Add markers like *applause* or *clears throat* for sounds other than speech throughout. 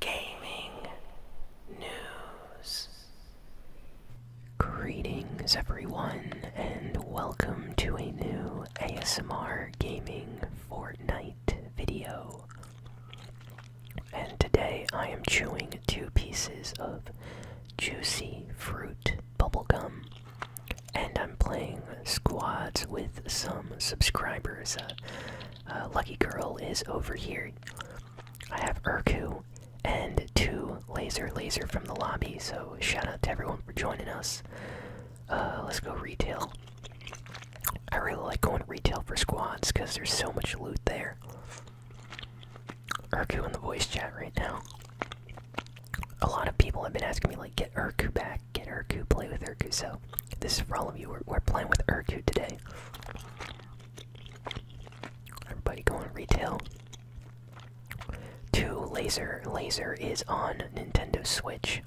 gaming news. Greetings, everyone, and welcome to a new ASMR Gaming Fortnite video. And today I am chewing two pieces of juicy fruit bubblegum. And I'm playing squads with some subscribers. Uh, uh, lucky Girl is over here. I have Urku and two Laser Laser from the lobby, so shout out to everyone for joining us. Uh, let's go retail. I really like going retail for squads because there's so much loot there. Urku in the voice chat right now. A lot of people have been asking me, like, get Urku back, get Urku, play with Urku, so this is for all of you. We're, we're playing with Urku today today. Everybody going retail. Two laser laser is on Nintendo Switch.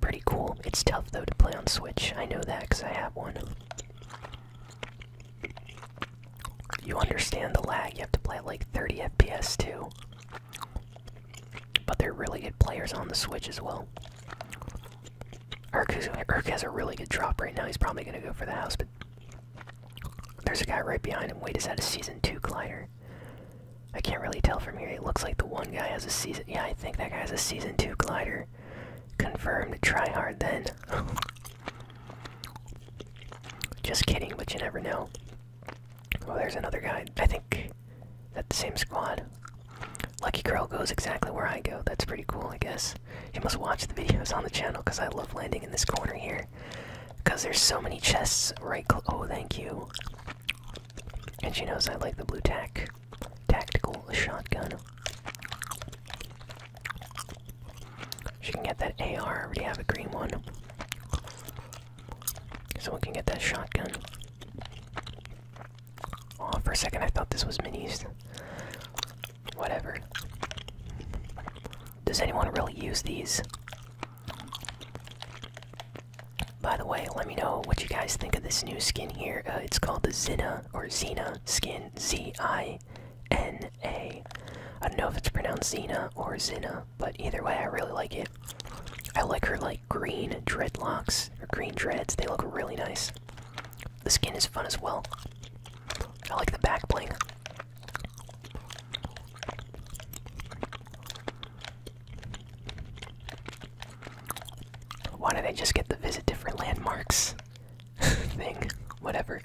Pretty cool. It's tough though to play on Switch. I know that because I have one. You understand the lag. You have to play at like 30 FPS too. But they're really good players on the Switch as well. Erk has a really good drop right now. He's probably going to go for the house, but there's a guy right behind him. Wait, is that a season 2 glider? I can't really tell from here. It looks like the one guy has a season. Yeah, I think that guy has a season 2 glider. Confirmed. Try hard then. *laughs* Just kidding, but you never know. Oh, there's another guy. I think that the same squad? Lucky Girl goes exactly where I go. That's pretty cool, I guess. You must watch the videos on the channel because I love landing in this corner here. Because there's so many chests right Oh, thank you. And she knows I like the blue tack. Tactical shotgun. She can get that AR. I already have a green one. so we can get that shotgun. Oh, for a second I thought this was minis. Whatever. Does anyone really use these? By the way, let me know what you guys think of this new skin here. Uh, it's called the Zina or Xena skin. Z I N A. I don't know if it's pronounced Zina or Zina, but either way, I really like it. I like her like green dreadlocks or green treads. They look really nice. The skin is fun as well. I like the back bling. Why did I just get the visit different landmarks *laughs* thing? Whatever.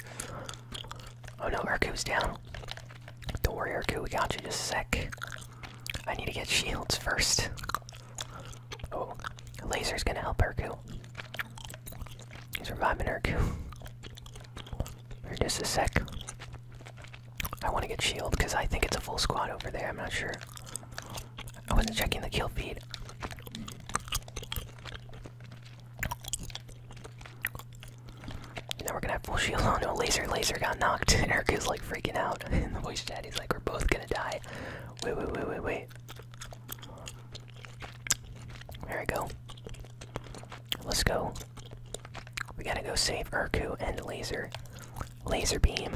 Oh no, Urku's down. Don't worry, Urku, we got you just a sec. I need to get shields first. Oh, laser's gonna help Urku. He's reviving Urku. For just a sec. I wanna get shield because I think it's a full squad over there, I'm not sure. I wasn't checking the kill feed. Now we're gonna have full shield on. no laser, laser got knocked. and Urku's *laughs* like freaking out And *laughs* the voice chat. He's like, we're both gonna die. Wait, wait, wait, wait, wait. There we go. Let's go. We gotta go save Urku and Laser. Laser Beam.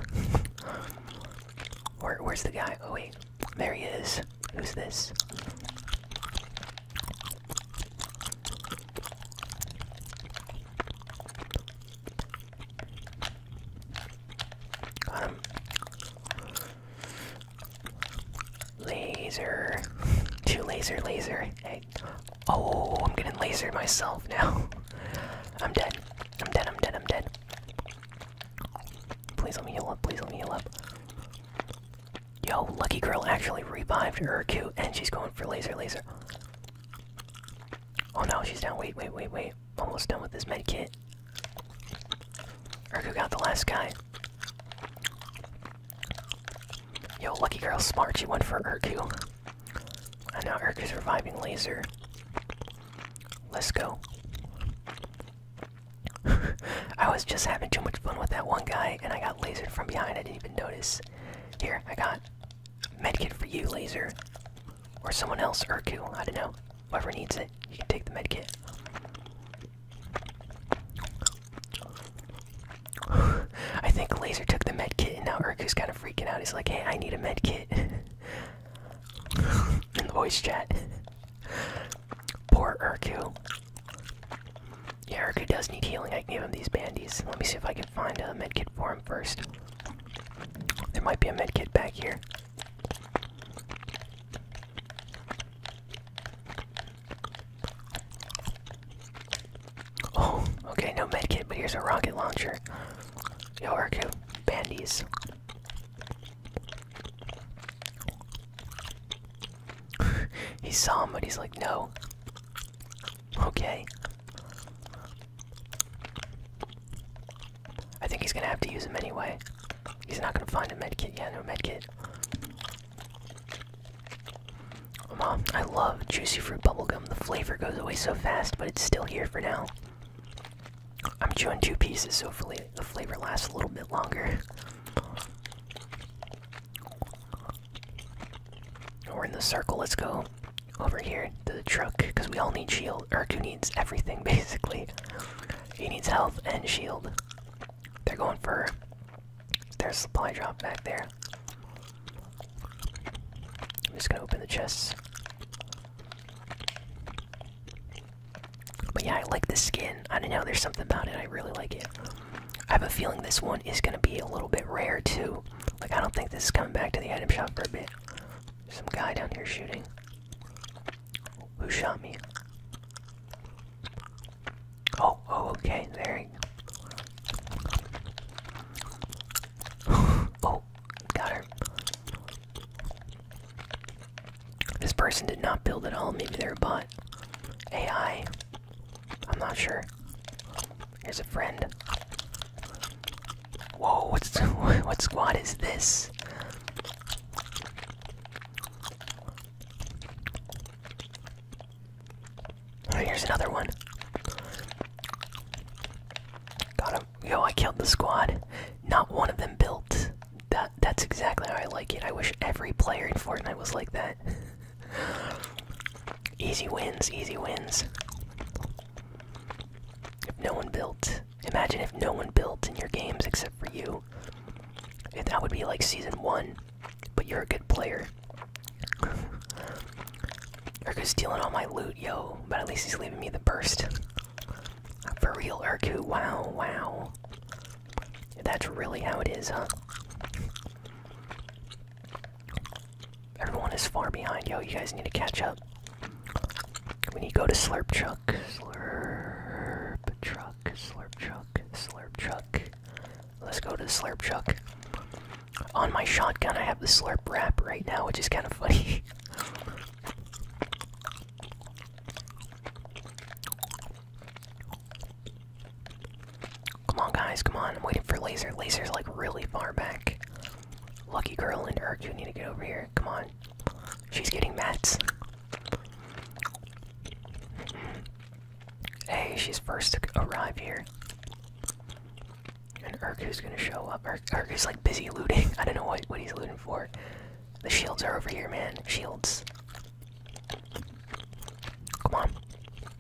*laughs* Where, where's the guy? Oh, wait. There he is. Who's this? Laser. Two laser, laser. Hey. Oh, I'm getting lasered myself now. I'm dead. I'm dead, I'm dead, I'm dead. Please let me heal up, please let me heal up. Yo, Lucky Girl actually revived Urku and she's going for laser, laser. Oh no, she's down. Wait, wait, wait, wait. Almost done with this med kit. Urku got the last guy. Yo, lucky girl, smart. She went for Urku. I know Urku's reviving Laser. Let's go. *laughs* I was just having too much fun with that one guy, and I got lasered from behind. I didn't even notice. Here, I got Medkit for you, Laser. Or someone else, Urku, I don't know. Whoever needs it, you can take the medkit. *sighs* I think Laser took the medkit and now Urku's kind of freaking out. He's like, hey, I need a medkit. *laughs* In the voice chat. Poor Urku. Yeah, Urku does need healing. I can give him these bandies. Let me see if I can find a med kit for him first. There might be a med kit back here. Oh, okay, no med kit, but here's a rocket launcher. Yo, Urku, bandies. *laughs* he saw him, but he's like, no. Okay. I think he's gonna have to use him anyway. He's not gonna find a medkit. yet. no medkit. Mom, I love juicy fruit bubblegum. The flavor goes away so fast, but it's still here for now. I'm chewing two pieces, so hopefully the flavor lasts a little bit longer. We're in the circle, let's go over here to the truck because we all need shield. Urku needs everything *laughs* basically. He needs health and shield. They're going for their supply drop back there. I'm just gonna open the chests. But yeah, I like the skin. I don't know, there's something about it. I really like it. I have a feeling this one is gonna be a little bit rare too shooting. Like, I don't think this is coming back to the item shop for a bit. Some guy down here shooting. Who shot me? Oh, oh, okay, there he. go. *sighs* oh, got her. This person did not build at all. Maybe they're a bot. AI. I'm not sure. Here's a friend. Whoa, what's *laughs* what squad is this? Oh, here's another one. Got him. Yo, I killed the squad. Not one of them built. That that's exactly how I like it. I wish every player in Fortnite was like that. *laughs* Easy wins, easy wins. If no one built, imagine if no one built in your games except for you. If that would be like season one, but you're a good player. *laughs* Urku's stealing all my loot, yo, but at least he's leaving me the burst. For real, Urku, wow, wow. That's really how it is, huh? Everyone is far behind. Yo, you guys need to catch up. We need to go to Slurp Truck. Slurp Truck. Slurp Truck. Slurp Truck. Let's go to Slurp Truck. On my shotgun, I have the Slurp Wrap right now, which is kind of funny. Come on, guys, come on. I'm waiting for Laser. Laser's like really far back. Lucky Girl and Urk, you need to get over here. Come on. She's getting mats. Hey, she's first to arrive here. And is gonna show up. Ur is like busy looting. I don't know what, what he's looting for. The shields are over here, man. Shields. Come on.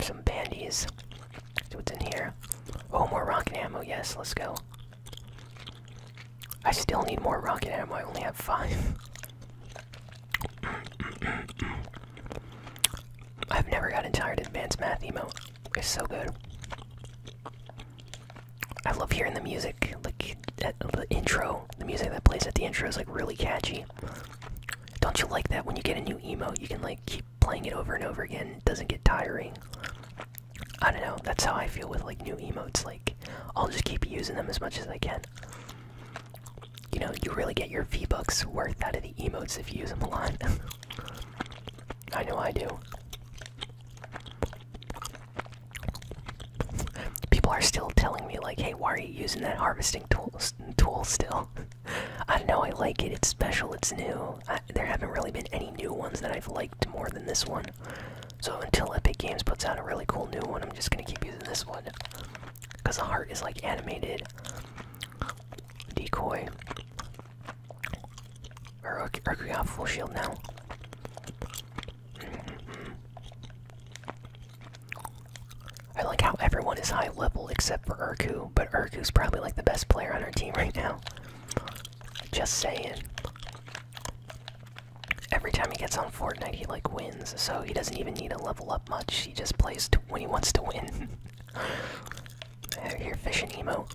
Some bandies. what's in here. Oh, more rocket ammo. Yes, let's go. I still need more rocket ammo. I only have five. *clears throat* I've never gotten tired of advanced math emote. It's so good. I love hearing the music, like the intro. The music that plays at the intro is like really catchy. Don't you like that when you get a new emote, you can like keep playing it over and over again? It doesn't get tiring. I don't know. That's how I feel with like new emotes. Like I'll just keep using them as much as I can. You know, you really get your V books worth out of the emotes if you use them a lot. *laughs* I know I do. People are still telling me like, "Hey, why are you using that harvesting tool tool still?" *laughs* I don't know I like it. It's special. It's new. there haven't really been any new ones that I've liked more than this one. So until Epic Games puts out a really cool new one, I'm just gonna keep using this one. Cause the heart is like animated. Decoy. Or are we off full shield now? I like how everyone is high level except for Urku, but Urku's probably like the best player on our team right now. Just saying. Every time he gets on Fortnite, he like wins, so he doesn't even need to level up much. He just plays when he wants to win. Out *laughs* here fishing emo.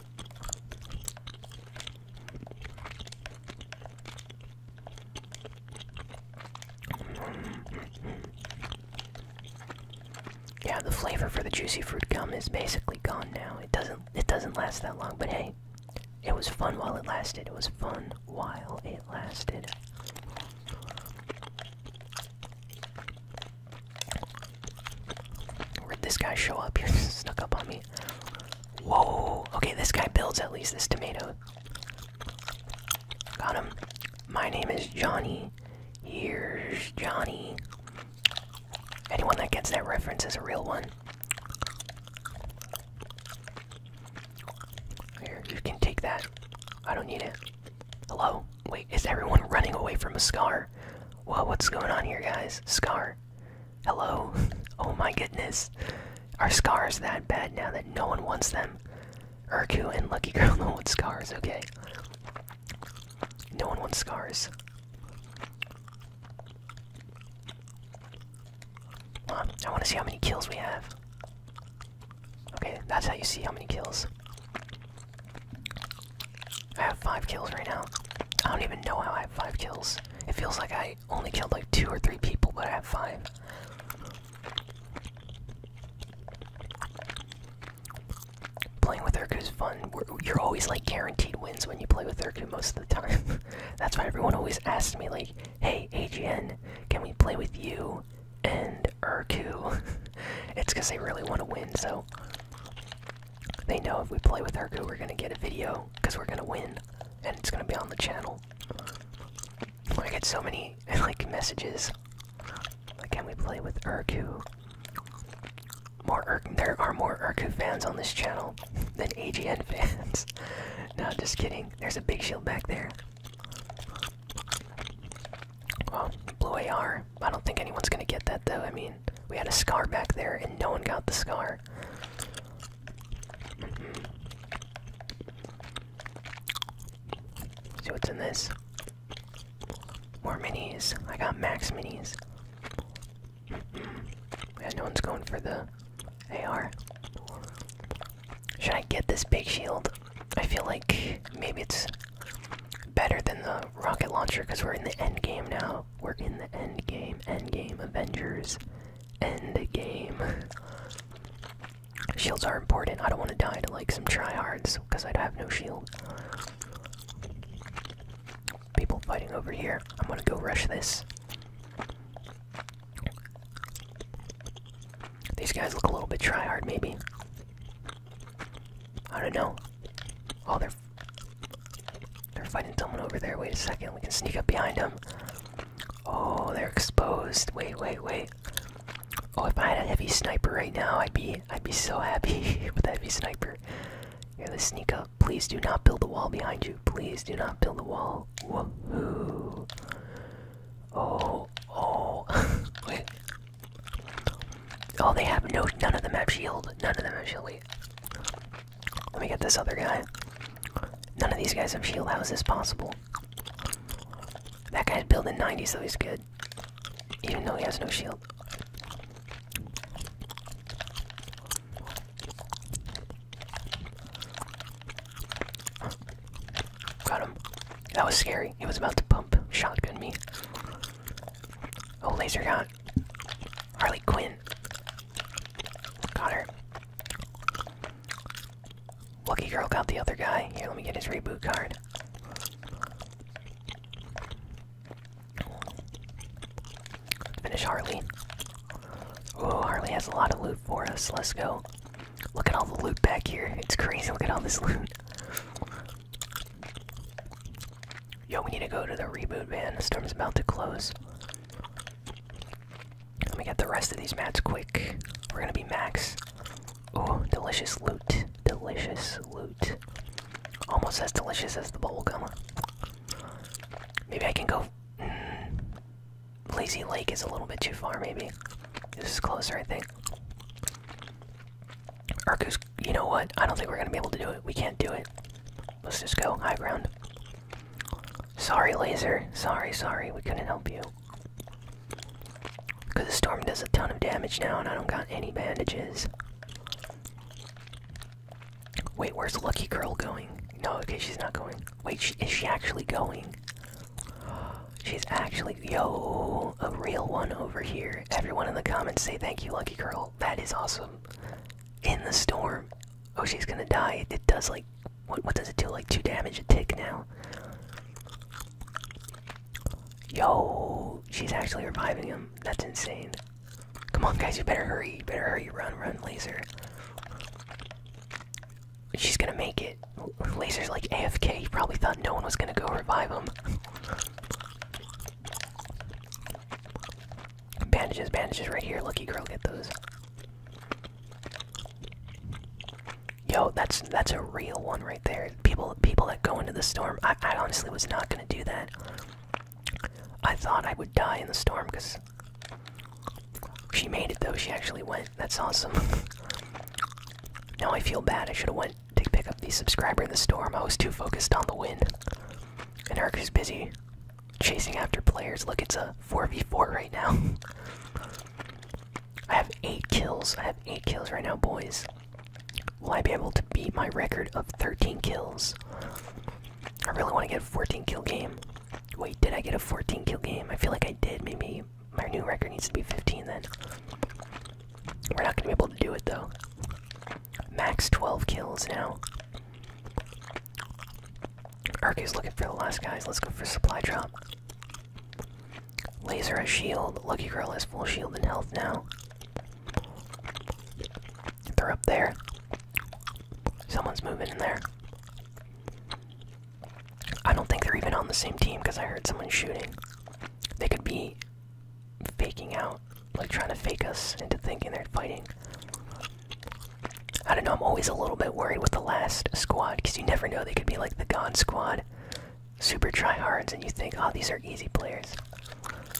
Yeah, the flavor for the juicy fruit gum is basically gone now. It doesn't it doesn't last that long, but hey, it was fun while it lasted. It was fun while it lasted. Where'd this guy show up? *laughs* He snuck up on me. Whoa! Okay, this guy builds at least this tomato. Got him. My name is Johnny. Here's Johnny. Anyone that gets that reference is a real one. Here, you can take that. I don't need it. Hello? Wait, is everyone running away from a scar? Whoa, what's going on here, guys? Scar. Hello? *laughs* oh my goodness. Are scars that bad now that no one wants them? Urku and Lucky Girl *laughs* don't want scars, okay? No one wants scars. Huh, I want to see how many kills we have. Okay, that's how you see how many kills. I have five kills right now. I don't even know how I have five kills. It feels like I only killed like two or three people, but I have five. Playing with Urku is fun. you're always like guaranteed wins when you play with Urku most of the time. *laughs* That's why everyone always asks me like, "Hey AGN, can we play with you and Urku?" *laughs* it's because they really want to win, so they know if we play with Urku, we're gonna get a video because we're gonna win, and it's gonna be on the channel. I get so many *laughs* like messages. Can we play with Urku? More Urk there are more Urku fans on this channel *laughs* than AGN *laughs* fans. no, just kidding. There's a big shield back there. Well, blue I don't think anyone's gonna get that though. I mean, we had a scar back there and no one got the scar. See what's in this? More minis. I got max minis. Mm-hmm. yeah, no one's going for the AR. Should I get this big shield? I feel like maybe it's better than the rocket launcher because we're in the end game now. We're in the end game, end game, Avengers, end game. *laughs* Shields are important. I don't want to die to like some tryhards because I'd have no shield. People fighting over here. I'm gonna go rush this. These guys look a little bit tryhard, maybe. I don't know. Oh, they're they're fighting someone over there. Wait a second. We can sneak up behind them. Oh, they're exposed. Wait, wait, wait. Oh, if I had a heavy sniper right now, I'd be I'd be so happy *laughs* with a heavy sniper. Here, let's sneak up. Please do not build the wall behind you. Please do not build the wall. Woohoo. Oh, oh. *laughs* wait. Oh, they have no. None of them have shield. None of them have shield. Wait. Let me get this other guy. None of these guys have shield. How is this possible? That guy's built in '90s so he's good. Even though he has no shield. Got him. That was scary. He was about to pump shotgun me. Oh, laser gun. Harley Quinn. Got her. Lucky girl got the other guy. Here, let me get his reboot card. finish Harley. Oh, Harley has a lot of loot for us. Let's go. Look at all the loot back here. It's crazy. Look at all this loot. Yo, we need to go to the reboot van. The storm's about to close. Let me get the rest of these mats quick. We're gonna be max. Oh, delicious loot. Delicious loot. Almost as delicious as the bowl. bubblegum. Maybe I can go. Hmm, Lazy Lake is a little bit too far, maybe. This is closer, I think. Urkus, you know what? I don't think we're gonna be able to do it. We can't do it. Let's just go high ground. Sorry, laser. Sorry, sorry. We couldn't help you. Because the storm does a ton of damage now, and I don't got any bandages. Wait, where's Lucky Girl going? No, okay, she's not going. Wait, is she actually going? *gasps* She's actually. Yo, a real one over here. Everyone in the comments say thank you, Lucky Girl. That is awesome. In the storm. Oh, she's gonna die. It does like what, what does it do? Like two damage a tick now. Yo, she's actually reviving him. That's insane. Come on, guys, you better hurry. You better hurry. Run, run, laser. She's gonna make it. Laser's like AFK. probably thought no one was gonna go revive him. Bandages, bandages right here. Lucky girl, get those. Yo, that's that's a real one right there. People people that go into the storm. I, I honestly was not gonna do that. I thought I would die in the storm because she made it though. She actually went. That's awesome. *laughs* now I feel bad. I should have went to pick up the subscriber in the storm. I was too focused on the wind. And Eric is busy chasing after players. Look, it's a 4v4 right now. *laughs* I have 8 kills. I have 8 kills right now, boys. Will I be able to beat my record of 13 kills? I really want to get a 14 kill game. Wait, did I get a 14 kill game? I feel like I did. Maybe my new record needs to be 15 then. We're not going to be able to do it though. Max 12 kills now. Urku's looking for the last guys. Let's go for supply drop. Laser has shield. Lucky Girl has full shield and health now. They're up there. Someone's moving in there. I don't think they're even on the same team because I heard someone shooting. They could be faking out, like trying to fake us into thinking they're fighting. I don't know, I'm always a little bit worried with the last squad, because you never know, they could be like the God Squad. Super tryhards, and you think, oh, these are easy players.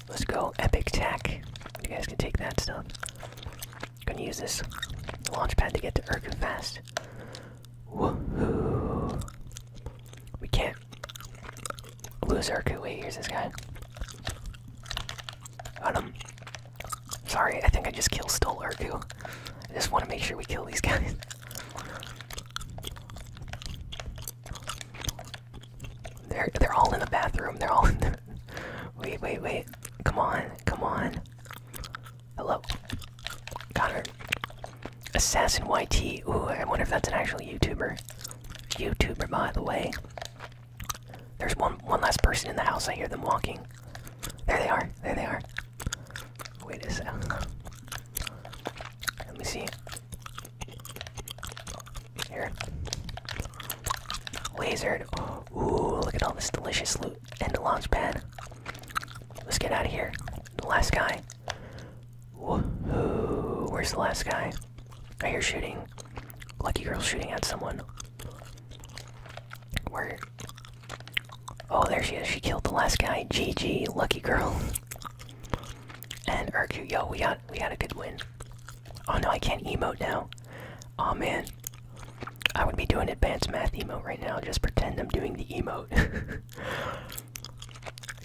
Let's go, Epic Tech! You guys can take that stuff. Gonna use this launch pad to get to Erku fast. Woohoo! We can't lose Erku. Wait, here's this guy. Um, sorry, I think I just killed Stole Urku. I just want to make sure we kill these guys. They're they're all in the bathroom. They're all in the. *laughs* Wait, wait, wait! Come on, come on! Hello, Connor. Assassin YT. Ooh, I wonder if that's an actual YouTuber. YouTuber, by the way. There's one one last person in the house. I hear them walking. There they are. There they are. Wait a second. Let me see. Here. Lasered. Ooh, look at all this delicious loot and the launch pad. Let's get out of here. The last guy. Woohoo. Where's the last guy? I hear shooting. Lucky girl shooting at someone. Where? Oh, there she is. She killed the last guy. GG, lucky girl. and Urku, yo, we got we got a good win. Oh no, I can't emote now. Oh man, I would be doing advanced math emote right now. Just pretend I'm doing the emote.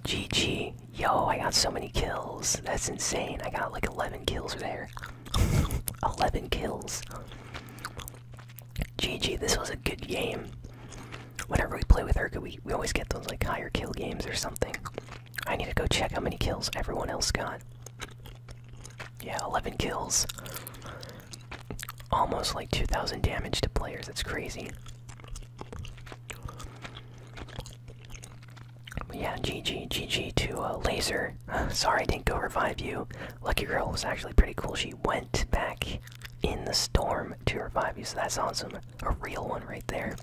GG, *laughs* yo, I got so many kills. That's insane. I got like 11 kills there. 11 kills. GG, this was a good game. Whenever we play with her, we, we always get those like higher kill games or something. I need to go check how many kills everyone else got. Yeah, 11 kills. Almost like 2,000 damage to players, that's crazy yeah, GG, GG to a uh, Laser. *laughs* sorry I didn't go revive you. Lucky Girl was actually pretty cool. She went back in the storm to revive you, so that's awesome. A real one right there.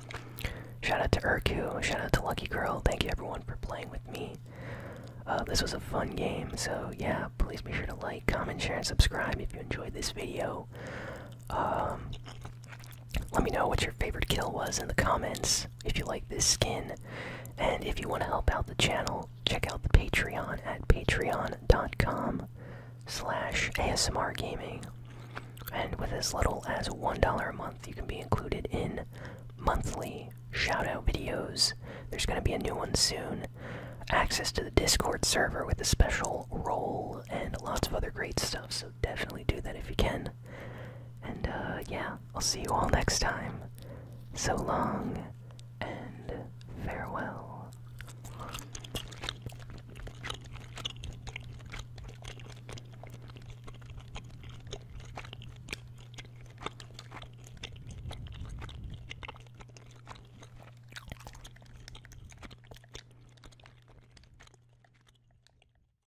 Shout out to Urku, shout out to Lucky Girl. Thank you everyone for playing with me. Uh, this was a fun game, so yeah, please be sure to like, comment, share, and subscribe if you enjoyed this video. Um, let me know what your favorite kill was in the comments. If you like this skin, and if you want to help out the channel, check out the Patreon at patreon.com slash ASMR gaming. And with as little as $1 a month, you can be included in monthly shout-out videos. There's going to be a new one soon. Access to the Discord server with a special role and lots of other great stuff. So definitely do that if you can. And uh, yeah, I'll see you all next time. So long and farewell.